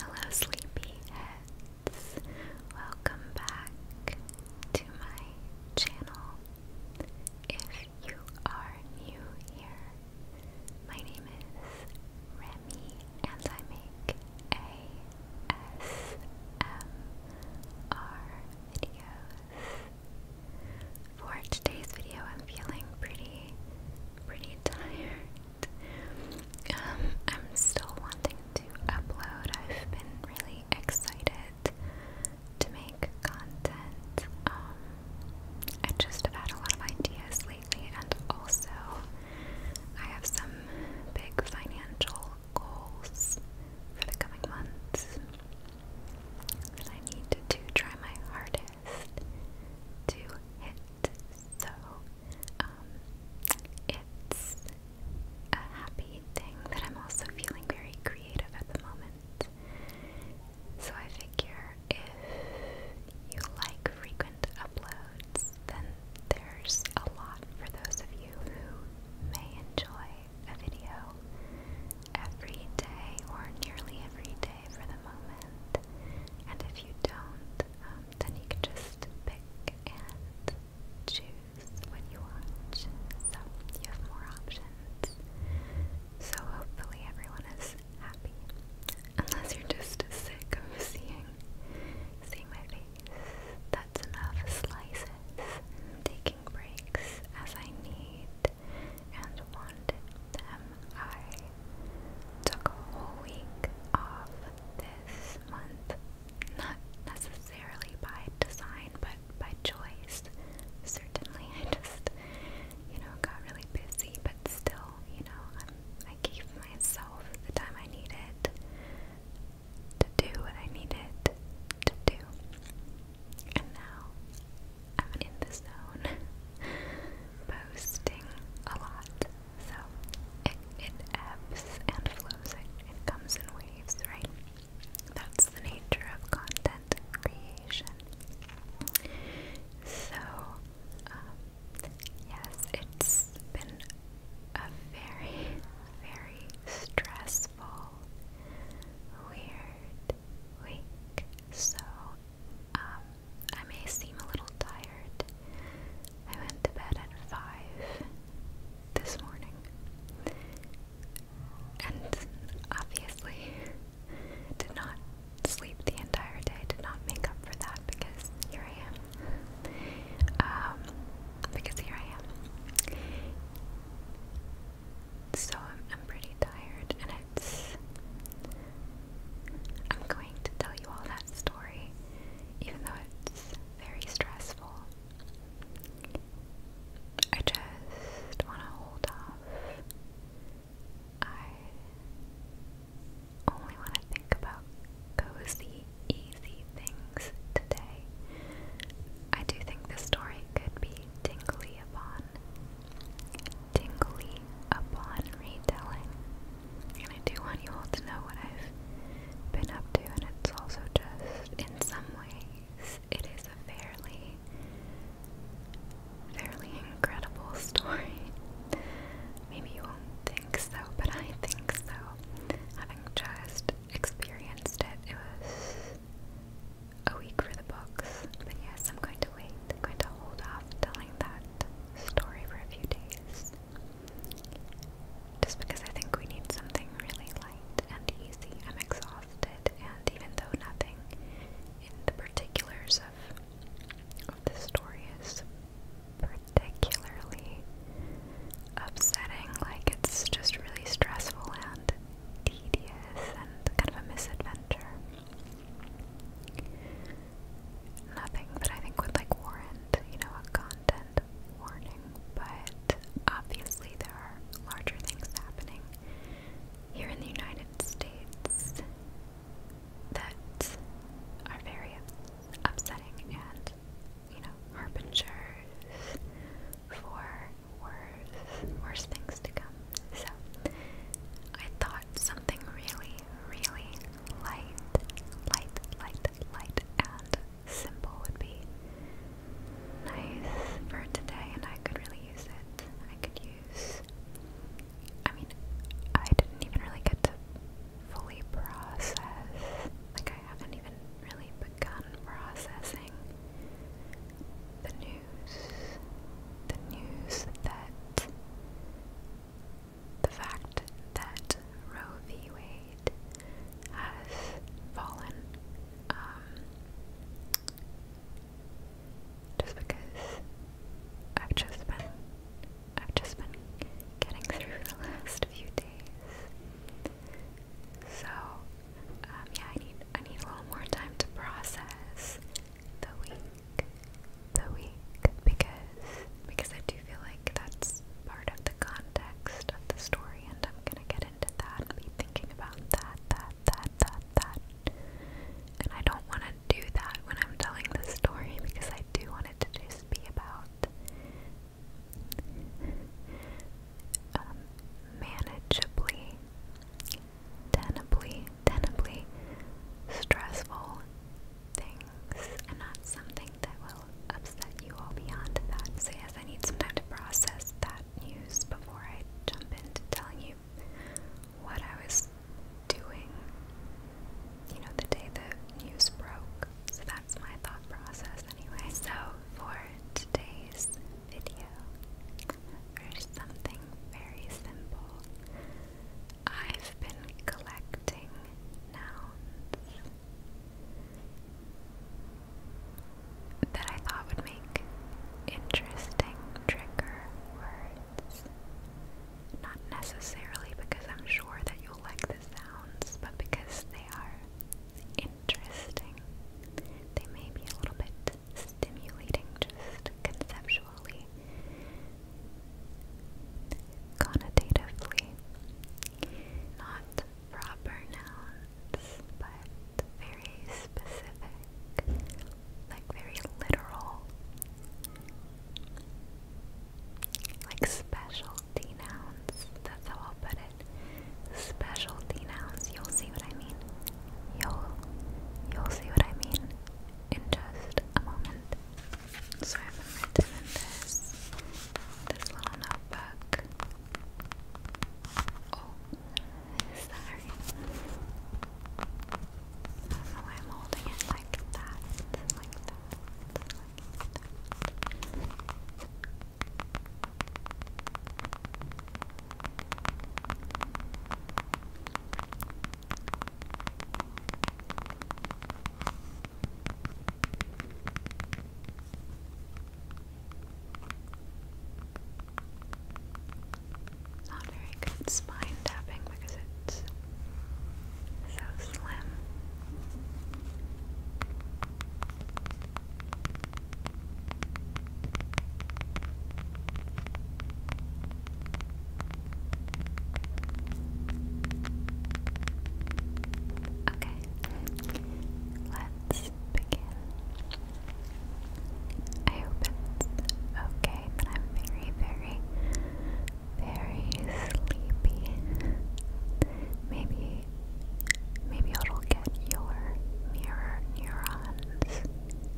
Hello, sleepyheads. Welcome back to my channel. If you are new here, my name is Remy, and I make ASMR videos. For today's video, I'm feeling pretty, pretty tired. Um, I'm still wanting to upload. I've been really excited to make content. Um, I just have had a lot of ideas lately, and also I have some big financial goals for the coming months that I need to, to try my hardest to hit. So um, it's a happy thing that I'm also feeling very creative at the moment. So I figure if you like frequent uploads, then there's a lot for those of you who may enjoy a video every day or nearly every day okay for the moment. And if you don't, um, then you can just pick and choose what you want. So you have more options. So hopefully everyone is happy. Unless you're just sick of seeing seeing my face. That's enough slices. Taking breaks as I need and want to I took a whole week off this month. Not necessarily by design, but by choice. Certainly, I just, you know, got really busy, but still, you know, i keep myself the time I need it to do what I need it to do. And now I'm in the zone. posting a lot. So it, it ebbs and flows, it, it comes in waves, right? That's the nature of content creation. So, um, yes, it's been a very, very stressful, weird week. So, um, I may seem a little tired. I went to bed at 5 this morning. And obviously, did not sleep the entire day, did not make up for that because here I am. Um, because here I am. So I'm pretty tired, and it's I'm going to tell you all that story, even though it's very stressful. I just want to hold off. I only want to think about cozy, easy things today. I do think this story could be tingly upon, tingly upon retelling. And I do want you all to know what I've been up to, and it's also just, in some ways, it is a fairly, fairly incredible story. Maybe you won't think so, but I think so. Having just experienced it, it was a week for the books. But yes, I'm going to wait. I'm going to hold off telling that story for a few days. Just because I think we need something really light and easy. I'm exhausted, and even though nothing in the particulars of, of the story is particularly upsetting, like it's just really stressful and tedious and kind of a misadventure nothing that I think would like warrant, you know, a content warning, but obviously there are larger things happening here in the United States that are very upsetting and, you know, harbingers for worse, worse things to come. So I thought something really, really light, light, light, light, and simple would be nice for today, and I could really use it. I could use. I mean, I didn't even really get to fully process. Like, I haven't even really begun processing the news. The news that the fact that Roe v. Wade has fallen um, just because I've just been I've just been getting through the last few days. So um, yeah, I need I need a little more time to process the week the week because because I do feel like that's part of the context of the story and I'm gonna get into that and be thinking about that, that, that, that, that. And I don't wanna do that when I'm telling the story because I do want it to just be about um, manageably, tenably, tenably stressful things and not something that will upset you all beyond that. So, yes, I need some time to process that news before I jump into telling you what I was doing, you know, the day the news broke. So, that's my thought process anyway. So, for today's video, or something very simple I've been collecting nouns that I thought would make interesting trigger words. Not necessarily because I'm sure that you'll like the sounds, but because they are interesting. They may be a little bit stimulating just conceptually conceptually, connotatively, not proper nouns, but very specific, like very literal, like specialty nouns. That's how I'll put it. Specialty nouns. You'll see what I mean. You'll you'll see what I mean in just a moment. So i am written in this this little notebook. Oh, sorry. I don't know why I'm holding it like that, like that, like that. Not very good spine tapping because it's so slim. Okay, let's begin. I hope it's okay that I'm very, very, very sleepy. Maybe, maybe it'll get your mirror neurons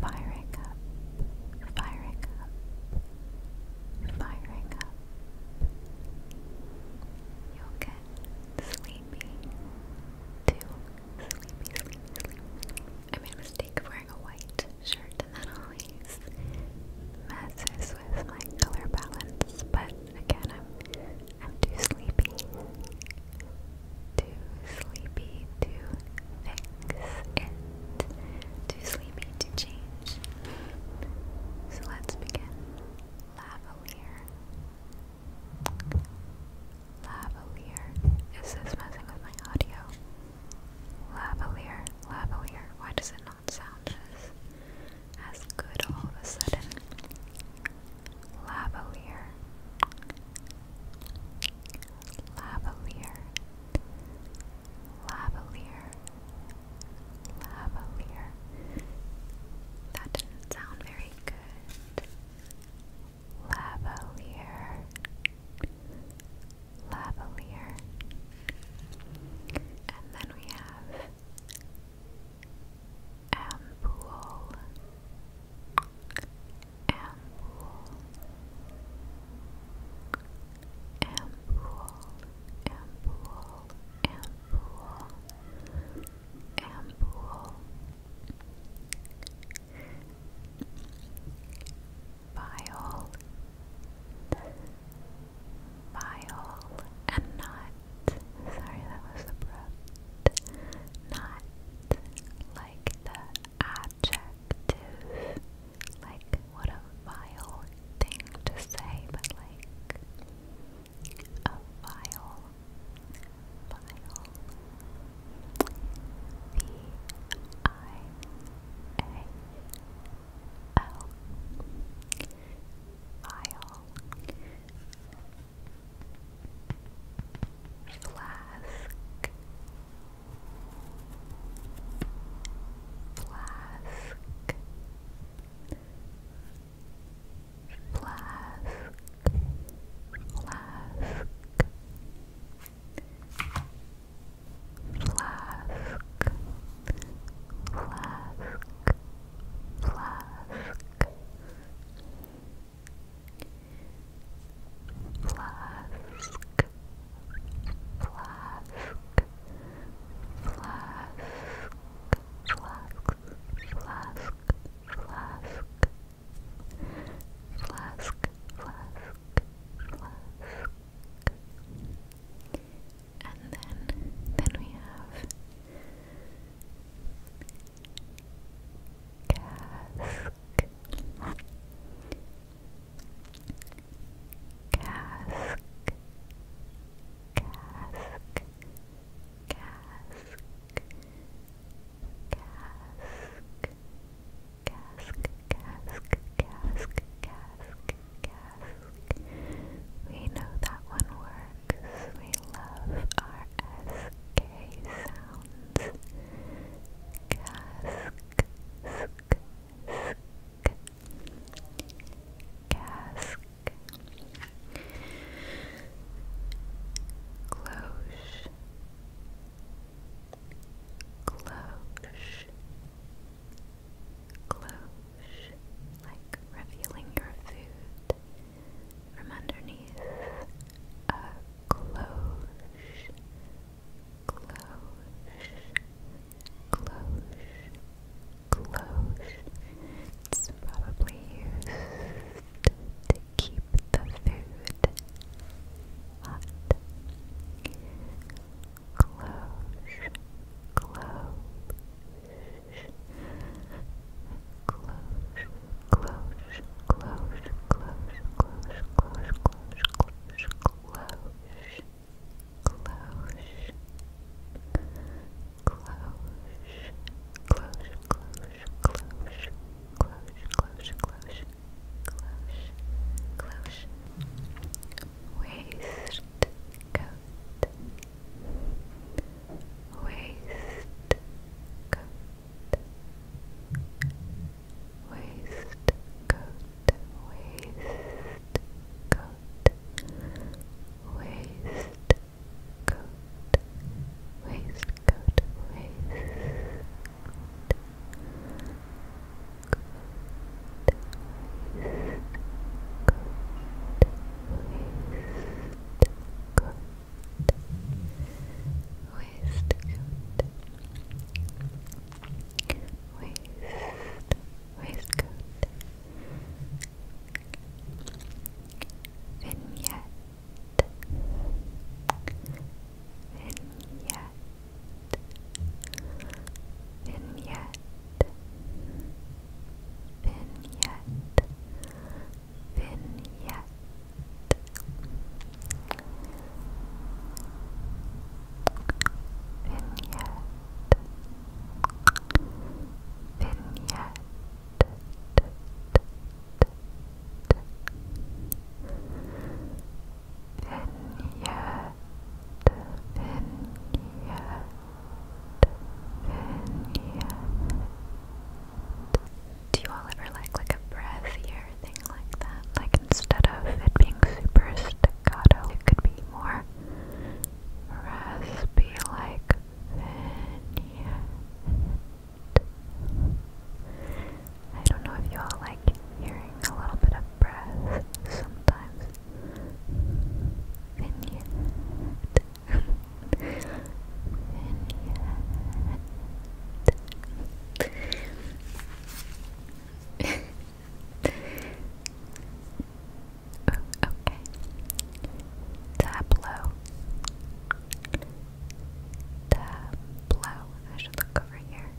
firing up firing up, firing up. You'll get sleepy, too sleepy, sleepy, sleepy. I made a mistake of wearing a white shirt, and that always messes with my color balance. But again, I'm I'm too sleepy, too sleepy, too fix it. Too sleepy to change. So let's begin. Lavalier. Lavalier. Is this messing with my audio? Lavalier. Lavalier. Why does it not sound as, good all of a sudden? Lavalier lavalier, lavalier, lavalier. That didn't sound very good. Lavalier, lavalier. And then we have ampoule Ampoule, Ampoule, Ampoule, Ampoule, Ampoule. Viol, viol, and not. Sorry, that was abrupt. Not like the ad adjective. Like, what a vile thing to say, but like, a vile, vile. V I A L. Vile. Flask. Flask Flask Flask Flask Flask Flask flask, flask, flask, flask, flask, flask, flask, flask, flask. And then, then we have cask, cask cask cask cask cask cask cask cask cask we know that one works we love our sk sound sounds. Cask, sk, Cask. Cloche. Cloche. Cloche. Like revealing your food from underneath a cloche close, close. It's probably used to keep the food hot. Close, close, close, close, close, close, close, close, close, close cloche, cloche, cloche, cloche, cloche, cloche, cloche, cloche, cloche, cloche, waist coat, waist coat waistcoat, waistcoat, waistcoat. Coat, waistcoat, waistcoat, waistcoat, waistcoat, waistcoat, waist, waistcoat, vignette, vignette, vignette, vignette, vignette. Vignette Do you all ever like like a breath here like that. Like instead of it being super staccato, it could be more raspy like I don't know if you all like hearing a little bit of breath sometimes. okay. Tableau. Tableau. I should look over here.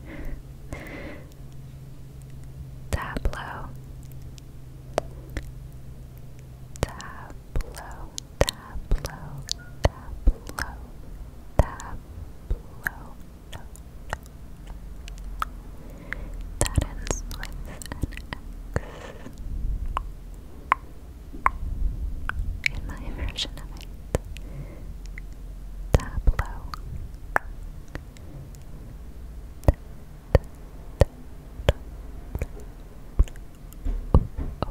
Tableau. Tableau. Tableau. Tableau. Tableau blow. No, That ends with an X. In my version of it, tableau. Oh,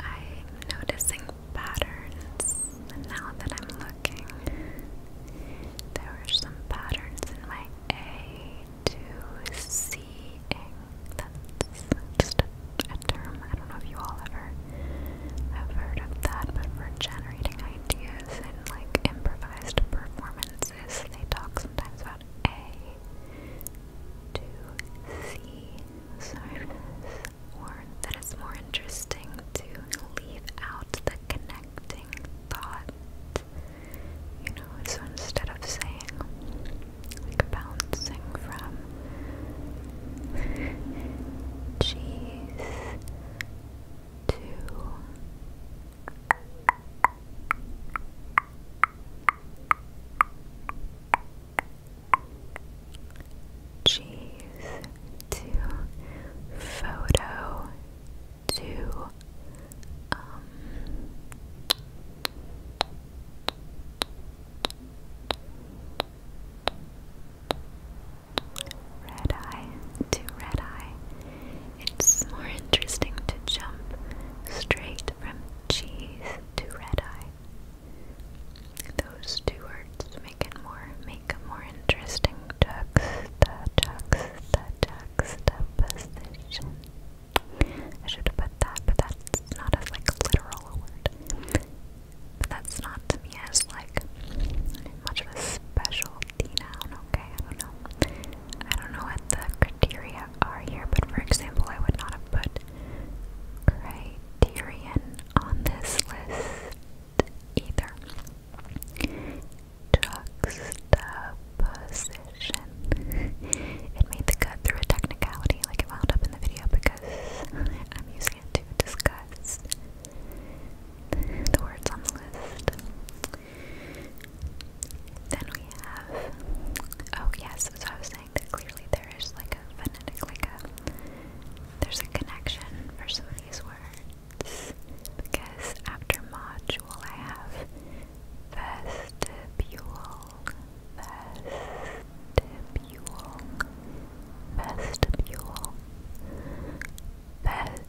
I'm noticing patterns now that I'm looking. There were some patterns in my A to C That's just a term. I don't know if you all ever have heard of that, but for generating ideas and like improvised performances, they talk sometimes about A to see surface, or that it's more interesting to leave out the connecting thought. You know, so instead of saying, like bouncing from cheese to Cheese to photo to um red eye to red eye it's more interesting to jump straight from cheese to red eye. Those two words make it more make a more interesting juxta juxta juxtaposition. I should put that, but that's not as like literal a word. But that's not to me as like much of a specialty noun, okay? I don't know. I don't know what the criteria are here, but for example, I would not have put criterion on this list either. Juxtaposition. It made the cut through a technicality, like it wound up in the video because I'm using it to discuss the words on the list. Then we have, oh yes, so I was saying that clearly there is like a phonetic, like a, there's a connection for some of these words. Because after module I have vestibule, vestibule, vestibule, vestibule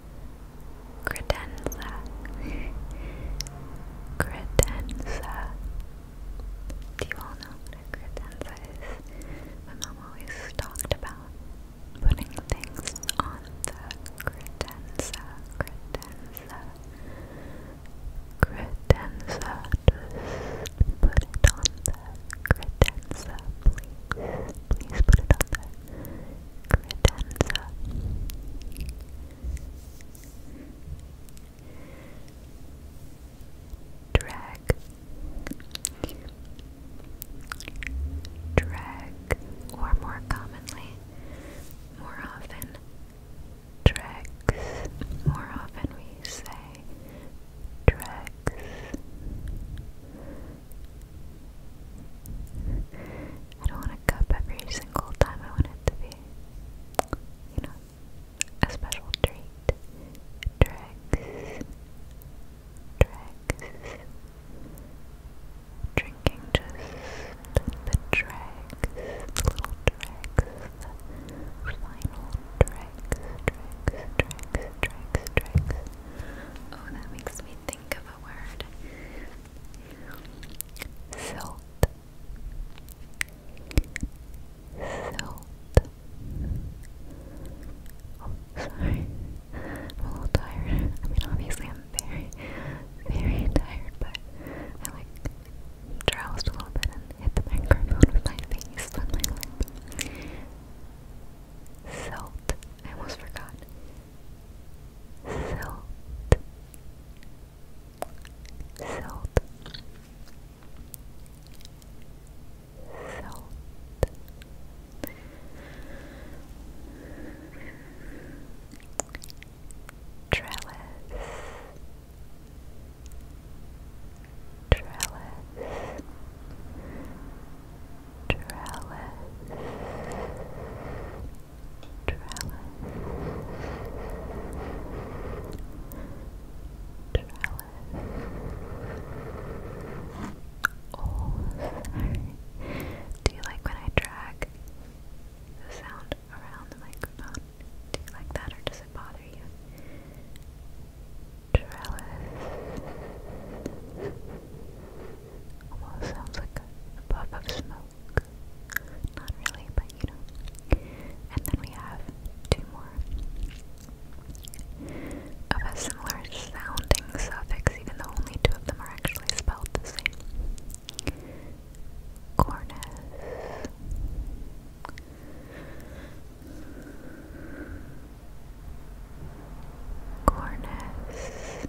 credenza credenza do you all know what a credenza is? my mom always talked about putting things on the credenza credenza credenza just put it on the credenza please please put it on the credenza Credenza, drag drag or more commonly more often dregs more often we say dregs I don't want a cup every single time. I want it to be, you know, a special treat. Dregs. Dregs. Drinking just the dregs, little dregs, final dregs, dregs, dregs, dregs, dregs. Oh, that makes me think of a word salt, salt. sorry. I'm a little tired. I mean, obviously, I'm very, very tired, but I like drowsed a little bit and hit the microphone with my face and my lip. Salt. I almost forgot salt, salt, salt. Trellis, trellis, trellis, Oh, sorry. Do you like when I drag the sound around the microphone? Do you like that or does it bother you? Trellis. Almost sounds like a puff of smoke. Not really, but you know. And then we have two more of a similar sounding suffix, even though only two of them are actually spelled the same. Cornice. Cornice.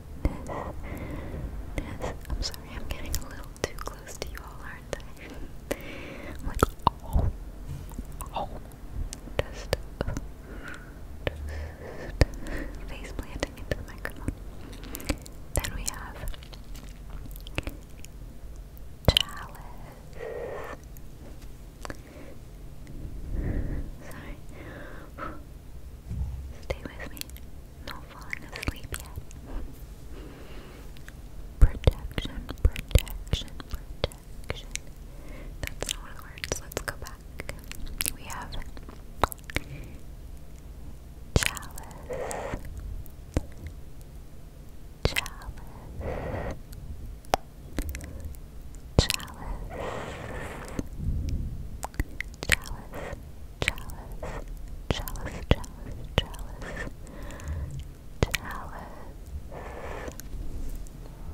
I'm sorry, I'm getting a little too close to you all, aren't I? Oh, oh, just face planting into the microphone. Then we have chalice. Sorry. Stay with me. Not falling asleep yet. Protection, protection, protection. That's not one of the words. Let's go back. We have chalice, chalice, chalice, chalice. Chalice, chalice, chalice, chalice, chalice.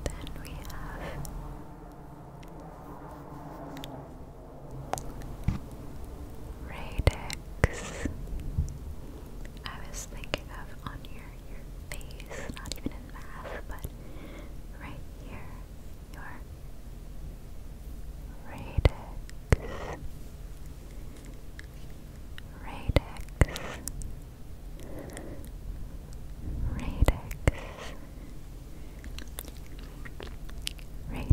Then we have radix. I was thinking of on your your face, not even in math, but right here your radix, radix, radix, radix, radix.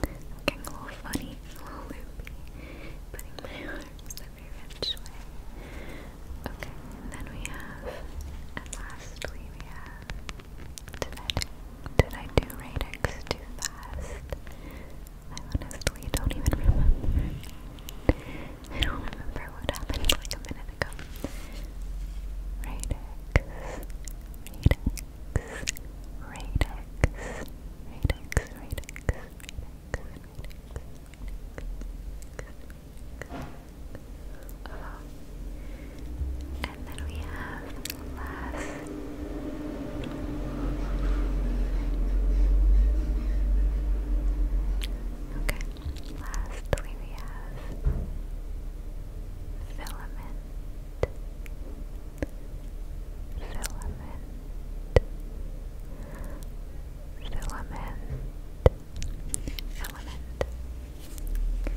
i a little funny, a little loopy, putting my arms every which way. Okay, and then we have, and lastly we have, did did I do radix too fast? I honestly don't even remember. I don't remember what happened like a minute ago. radix, radix, radix, radix, radix, radix, radix, uh, and then we have last. Okay, lastly we have filament, filament, filament, filament filament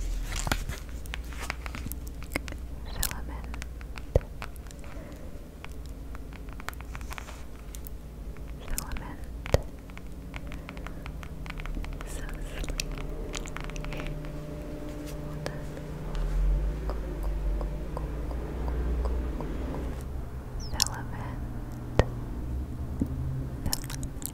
filament so sleepy filament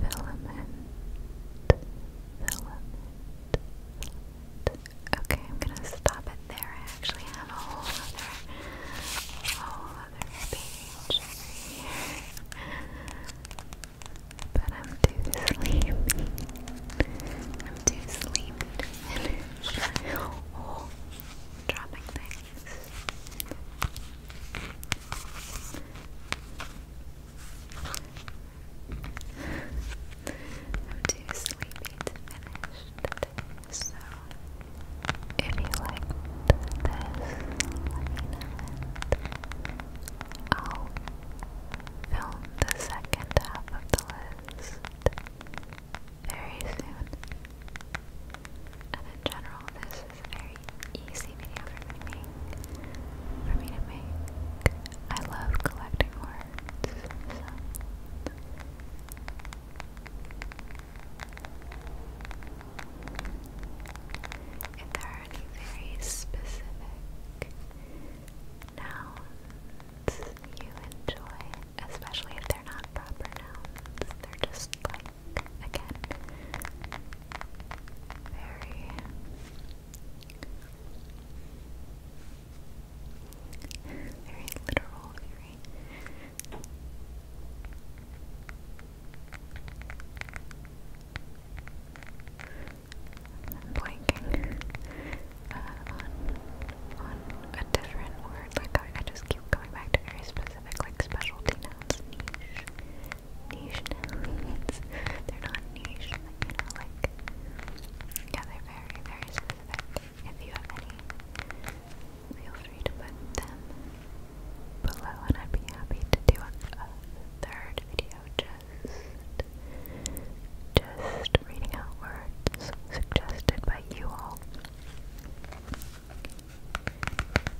filament, filament, Okay, I'm gonna stop it there. I actually have a whole other, whole other page here, but I'm too sleepy. I'm too sleepy oh, dropping things. I'm too sleepy to finish so if you liked this, I'll film the second half of the list very soon. And in general, this this a very easy video for me For me to make. I love collecting words. If there are any very specific nouns you enjoy, especially if they're not proper nouns, they're just like again. Very very literal, blanking uh, on, on a different word, like I just keep going back to very specific, like specialty nouns, niche, niche needs. They're not niche, like, yeah, they're very, very specific. If you have any, feel free to put them below, and I'd be happy to do a, a third video just, just reading out words suggested by you all.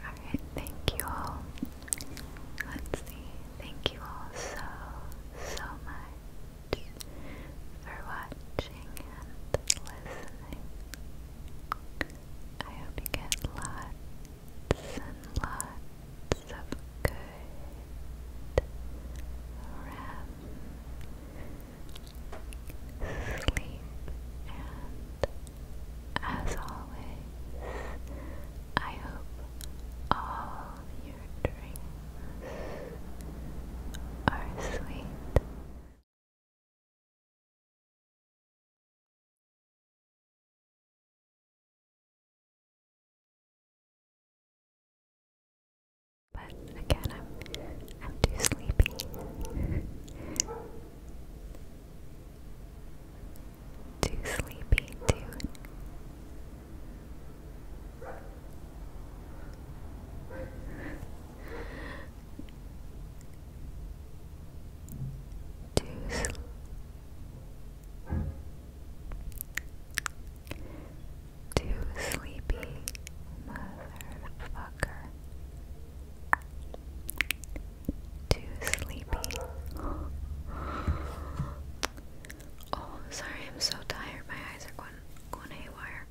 Alright, thank you all. Let's see. Thank you all so, so much for watching and listening. I hope you get lots and lots of good REM sleep and as always I hope all your dreams are sweet. But again, I'm I'm too sleepy. too sleepy too to Too sleepy, motherfucker. Too sleepy. Oh, sorry, I'm so tired. My eyes are going, going haywire.